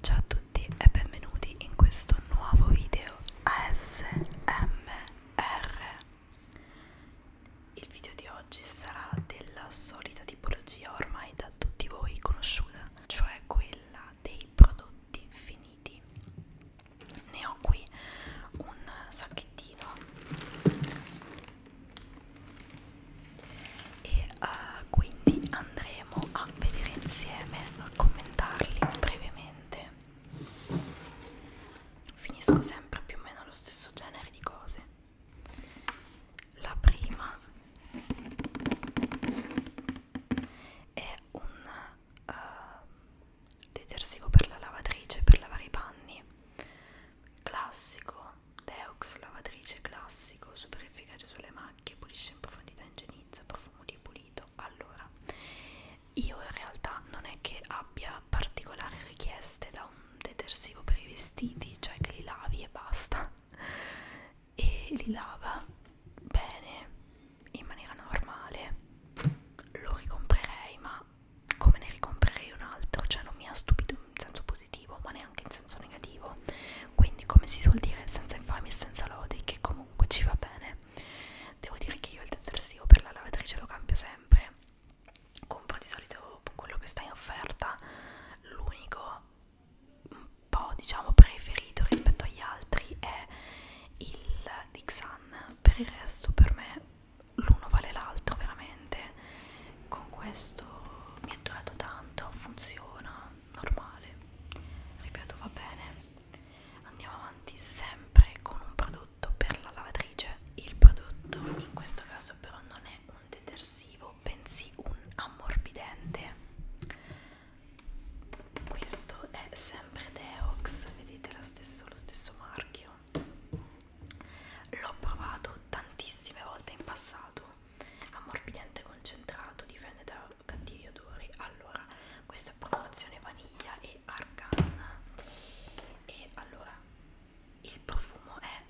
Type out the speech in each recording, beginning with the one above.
Ciao a tutti e benvenuti in questo nuovo video ASMR. Il video di oggi sarà della solita tipologia ormai da tutti voi conosciuta, cioè quella dei prodotti finiti. Ne ho qui un sacchettino e uh, quindi andremo a vedere insieme, a commentarli brevemente. Finisco sempre più o meno lo stesso genere di cose. La prima è un uh, detersivo per la lavatrice per lavare i panni classico Deox, lavatrice classico, super efficace sulle macchie, pulisce in profondità, ingenizza, profumo di pulito. Allora, io in realtà non è che abbia particolari richieste da un detersivo per i vestiti, cioè che li lavi e basta. E li lava bene, in maniera normale. Lo ricomprerei, ma come ne ricomprerei un altro? Cioè non mi ha stupito senso positivo ma neanche in senso negativo quindi come si suol dire senza infami e senza lodi che comunque ci va bene devo dire che io il detersivo per la lavatrice lo cambio sempre compro di solito quello che sta in offerta l'unico un po' diciamo preferito rispetto agli altri è il Dixan per il resto per me l'uno vale l'altro veramente con questo mi è durato tanto, funziona, normale, ripeto va bene. Andiamo avanti sempre con un prodotto per la lavatrice. Il prodotto in questo caso però non è un detersivo, bensì un ammorbidente. Questo è sempre Deox, vedete la stessa, lo stesso marchio. L'ho provato tantissime volte in passato ammorbidente concentrato, difende da cattivi odori. Allora, questa è promozione vaniglia e argan. E allora il profumo è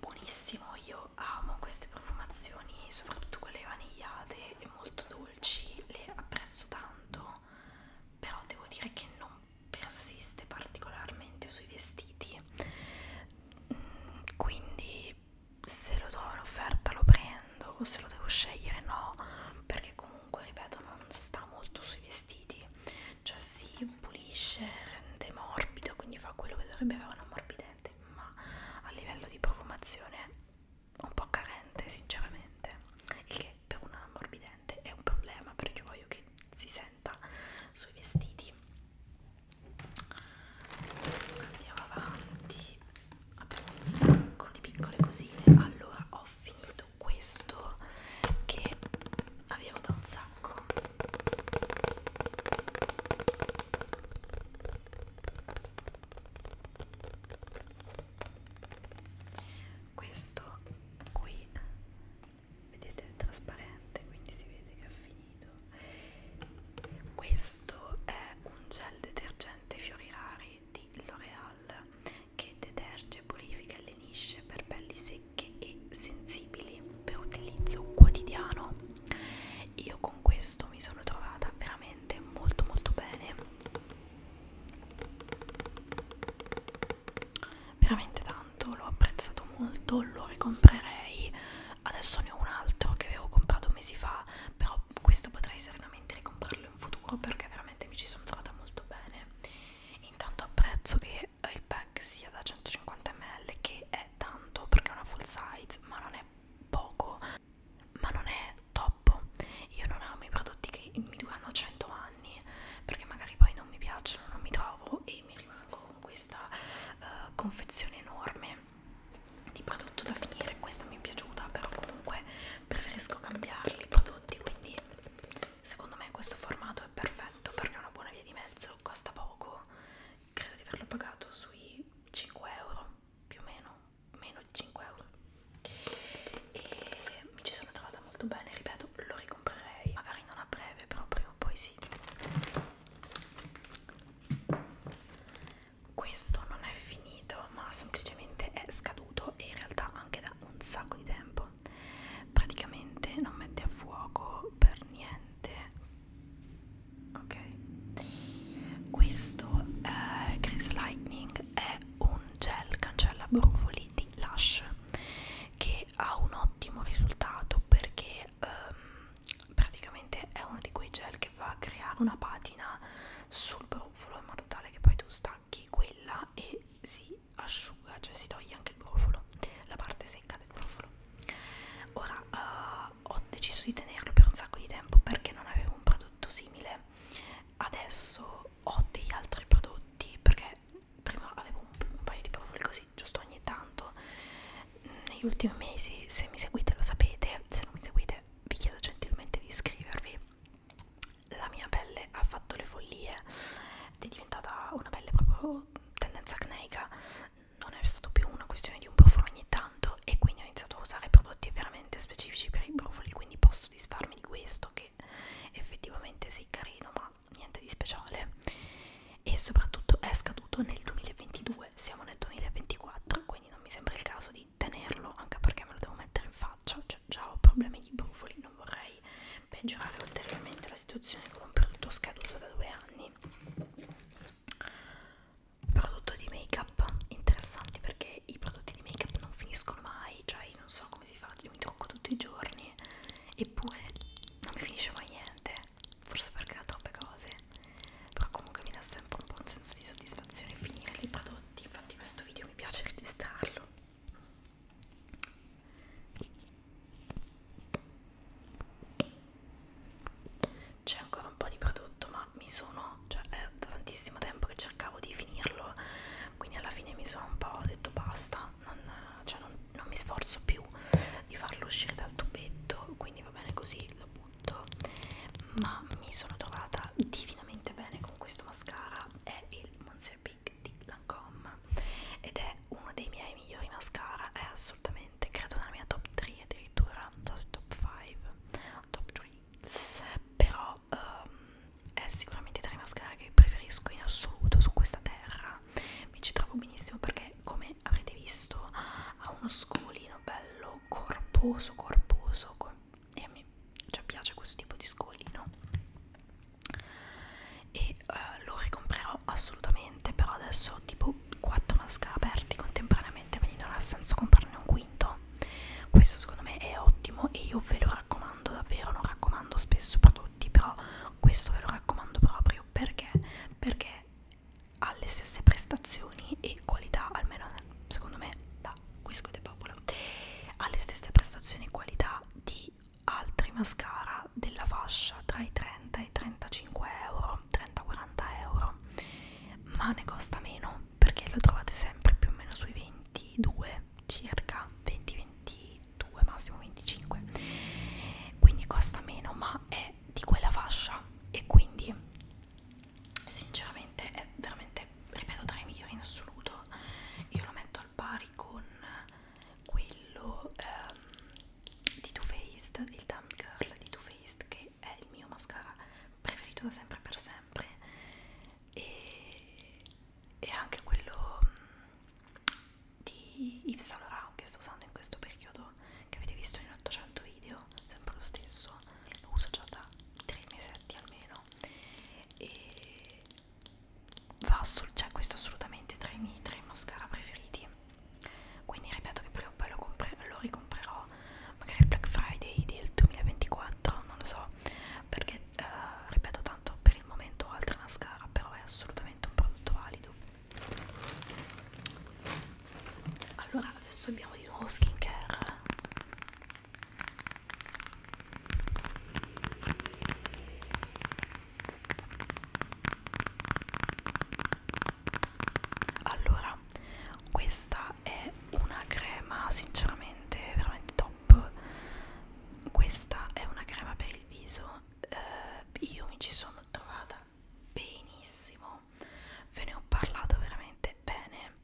buonissimo. Io amo queste profumazioni, soprattutto quelle vanigliate e molto dolci, le apprezzo tanto. Però devo dire che non persiste particolarmente sui vestiti mm, quindi se lo do in offerta lo prendo, se lo devo scegliere no, perché comunque ripeto non sta molto sui vestiti, cioè si pulisce, rende morbido, quindi fa quello che dovrebbe avere un ammorbidente, ma a livello di profumazione è un po' carente sinceramente, il che per un ammorbidente è un problema perché voglio che si senta sui vestiti andiamo avanti abbiamo un sacco di piccole cosine allora ho finito questo che avevo da un sacco questo qui vedete è trasparente quindi si vede che è finito finito questo è un gel detergente fiori rari di L'Oreal che deterge e purifica e allenisce per pelli secche e sensibili per utilizzo quotidiano io con questo mi sono trovata veramente molto molto bene veramente tanto l'ho apprezzato molto lo ricomprerei adesso ne ho un altro che avevo comprato mesi fa però questo potrei serenamente ricomprarlo in futuro perché veramente mi ci sono trovata molto bene intanto apprezzo che eh, il pack sia da 150 ml che è tanto perché è una full size ma non è poco ma non è troppo io non amo i prodotti che mi durano 100 anni perché magari poi non mi piacciono non mi trovo e mi rimango con questa uh, confezione enorme di prodotto da finire questa mi è piaciuta però comunque preferisco cambiarli i prodotti quindi secondo me questo formato è perfetto perché è una buona via di mezzo costa poco credo di averlo pagato sui 5 euro più o meno meno di 5 euro e mi ci sono trovata molto bene ripeto lo ricomprerei magari non a breve però prima o poi sì questo non è finito ma semplicemente è scaduto e in realtà anche da un sacco di tempo praticamente non mette a fuoco per niente ok questo eh, Grease Lightning è un gel cancella brufoli di Lush che ha un ottimo risultato perché um, praticamente è uno di quei gel che va a creare una patina sul brufolo in modo tale che poi tu stacchi quella e si asciuga, cioè si toglie anche il brufolo, la parte secca del brufolo. Ora uh, ho deciso di tenerlo per un sacco di tempo perché non avevo un prodotto simile. Adesso ho degli altri prodotti perché prima avevo un, un paio di profili così, giusto ogni tanto negli ultimi mesi se mi seguite lo sapete se non mi seguite vi chiedo gentilmente di iscrivervi la mia pelle ha fatto le follie è diventata una pelle proprio tendenza acneica non è stata più una questione di un brufolo ogni tanto e quindi ho iniziato a usare prodotti veramente specifici per i brufoli quindi posso disfarmi di questo che effettivamente sì carino ma niente di speciale e soprattutto è scaduto nel 2022, siamo nel 2024, quindi non mi sembra il caso di tenerlo, anche perché me lo devo mettere in faccia, cioè già ho problemi di brufoli, non vorrei peggiorare ulteriormente la situazione con un prodotto scaduto da due anni. Prodotto di make up interessante perché i prodotti di make up non finiscono mai, cioè io non so come si fa, io mi trucco tutti i giorni eppure non mi finisce mai niente forse perché ho troppe cose però comunque mi dà sempre un po' un senso di soddisfazione finire dei prodotti infatti questo video mi piace registrarlo c'è ancora un po' di prodotto ma mi sono cioè è da tantissimo tempo che cercavo di finirlo quindi alla fine mi sono un po' detto basta non, cioè non, non mi sforzo più di farlo uscire dal tubetto quindi va bene così lo tutto ma mi sono trovata divinamente bene con questo mascara è il Monster Big di Lancome ed è uno dei miei migliori mascara è assolutamente credo nella mia top 3 addirittura non so se top 5 top 3 però um, è sicuramente tra i mascara che preferisco in assoluto su questa terra mi ci trovo benissimo perché come avrete visto ha uno scolino bello bello corposo corposo e a me cioè, piace questo tipo di scolino e uh, lo ricomprerò assolutamente però adesso ho tipo 4 mascara aperti contemporaneamente quindi non ha senso comprarne un quinto questo secondo me è ottimo e io ve lo raccomando davvero non raccomando spesso prodotti però questo ve lo raccomando proprio perché perché ha le stesse prestazioni e qualità, almeno secondo me da Quisco de Popolo, ha le stesse prestazioni e qualità di altri mascara della fascia tra i 30 e i 35 euro, 30-40 euro, ma ne costa meno perché lo trovate sempre più o meno sui 22 circa, 20-22 massimo 25, quindi costa meno ma è di quella fascia e quindi sinceramente è veramente ripeto tra i migliori in assoluto io lo metto al pari con quello ehm, di Too Faced il Dumb Girl di Too Faced che è il mio mascara preferito da sempre per sempre e, e anche quello mm, di Yves Saint Laurent che sto usando in questo periodo video che avete visto in 800 video sempre lo stesso lo uso già da 3 mesetti almeno e va sul cioè questo è assolutamente tra i miei tre mascara preferiti quindi ripeto che prima o poi lo, lo ricomprerò magari il Black Friday del 2024 non lo so perché eh, ripeto tanto per il momento ho altre mascara però è assolutamente un prodotto valido allora adesso abbiamo di nuovo skincare allora questa è una crema sinceramente veramente top questa è una crema per il viso eh, io mi ci sono trovata benissimo ve ne ho parlato veramente bene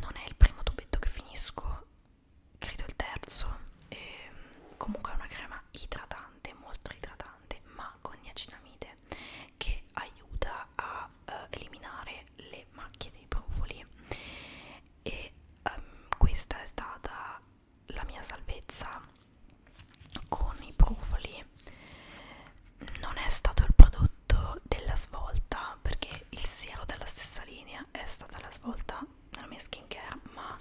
non è il primo tubetto che finisco credo il terzo e mm, comunque è una crema idratante molto idratante ma con niacinamide che aiuta a eh, eliminare le macchie dei brufoli e um, questa è stata la mia salvezza con i brufoli non è stato il prodotto della svolta perché il siero della stessa linea è stata la svolta nella mia skincare ma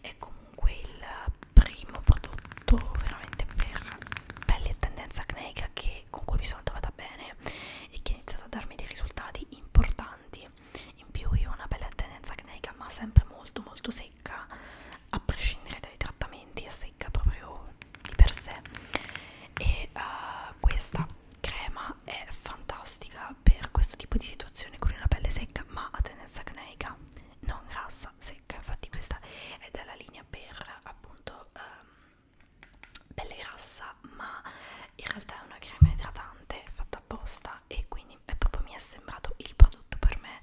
è comunque il primo prodotto veramente per pelle e tendenza acneica che, con cui mi sono trovata bene e che ha iniziato a darmi dei risultati importanti in più io ho una pelle a tendenza acneica ma sempre molto molto secca a prescindere dai trattamenti e se secca proprio di per sé e uh, questa crema è fantastica per questo tipo di situazione con una pelle secca ma a tendenza acneica non grassa secca infatti questa è della linea per appunto um, pelle grassa ma in realtà è una crema idratante fatta apposta e quindi è proprio mi è sembrato il prodotto per me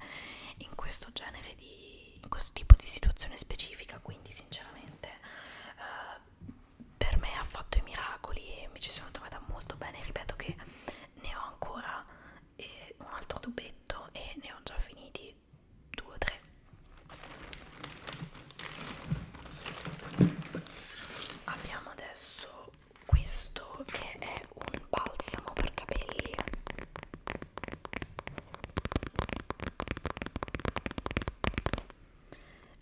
in questo genere di di, in questo tipo di situazione specifica, quindi sinceramente eh, per me ha fatto i miracoli e mi ci sono trovata molto bene, ripeto che ne ho ancora eh, un altro tubetto e ne ho già finiti due o tre. Abbiamo adesso questo che è un balsamo per capelli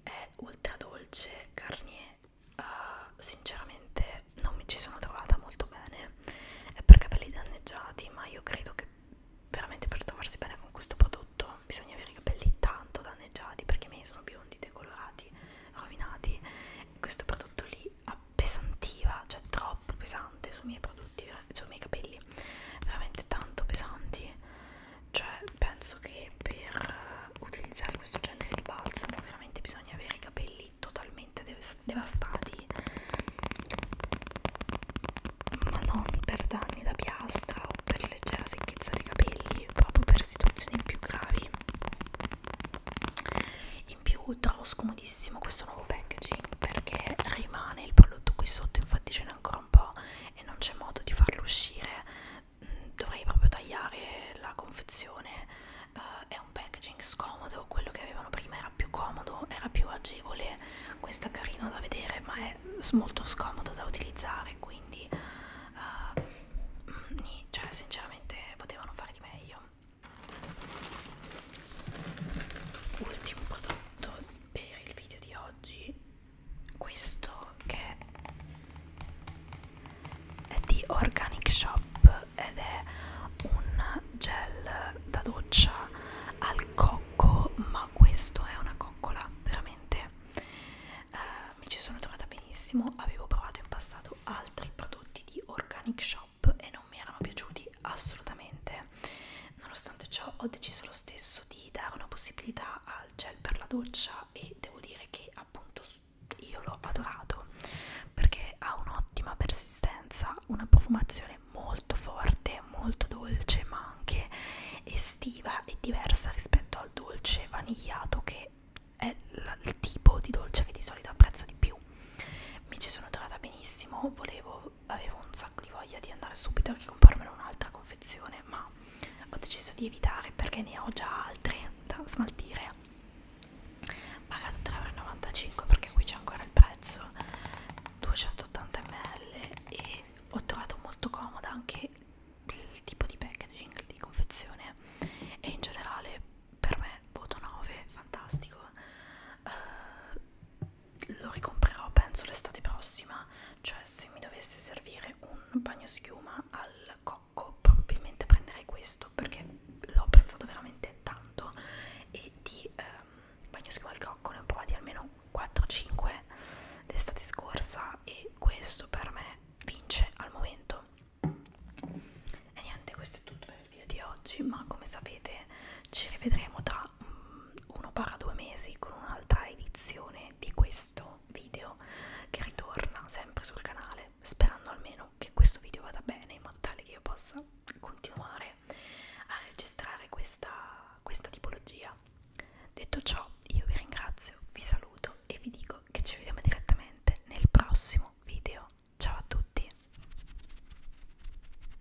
è ultra dolce Garnier uh, sinceramente non mi ci sono trovata molto bene è per capelli danneggiati ma io credo che veramente per trovarsi bene con questo prodotto bisogna avere i capelli tanto danneggiati perché i miei sono biondi, decolorati, rovinati questo prodotto lì ha pesantiva, cioè troppo pesante sui miei prodotti, sui miei capelli, veramente tanto pesanti, cioè penso che per utilizzare questo genere di balsamo veramente bisogna avere i capelli totalmente dev devastati, ma non per danni da piastra o per leggera secchezza dei capelli, proprio per situazioni più gravi. In più trovo scomodissimo questo nuovo nuovo packaging perché rimane il prodotto qui sotto infatti ce n'è ancora un po' e non c'è modo di farlo uscire mm, dovrei proprio tagliare la confezione uh, è un packaging scomodo quello che avevano prima era più comodo era più agevole questo è carino da vedere ma è molto scomodo da utilizzare quindi uh, cioè sinceramente potevano fare di meglio ultimo prodotto per il video di oggi questo che è di Organic Shop ed è un gel da doccia al cocco ma questo è una coccola veramente eh, mi ci sono trovata benissimo avevo provato in passato altri prodotti di Organic Shop shop e non mi erano piaciuti assolutamente nonostante ciò ho deciso lo stesso di dare una possibilità al gel per la doccia e devo dire che appunto io l'ho adorato perché ha un'ottima persistenza una profumazione molto forte molto dolce ma anche estiva e diversa rispetto al dolce vanigliato che è il tipo di dolce che di solito apprezzo di più mi ci sono trovata benissimo volevo avevo un sacco di voglia di andare subito a comprarmene un'altra confezione, ma ho deciso di evitare perché ne ho già altre da smaltire. Pagato 3,95€ perché qui c'è ancora il prezzo, 280 ml e ho trovato molto comoda anche il tipo di packaging di confezione e in generale per me voto 9, fantastico. Uh, lo ricomprerò penso l'estate prossima cioè se mi dovesse servire un bagno schiuma al cocco probabilmente prenderei questo perché l'ho apprezzato veramente tanto e di ehm, bagno schiuma al cocco ne ho provati almeno 4-5 l'estate scorsa e questo per me vince al momento e niente questo è tutto per il video di oggi ma come sapete ci rivedremo tra tra mm, uno para due mesi con un'altra edizione di questo video che ritorna sempre sul canale sperando almeno che questo video vada bene in modo tale che io possa continuare a registrare questa, questa tipologia detto ciò io vi ringrazio vi saluto e vi dico che ci vediamo direttamente nel prossimo video ciao a tutti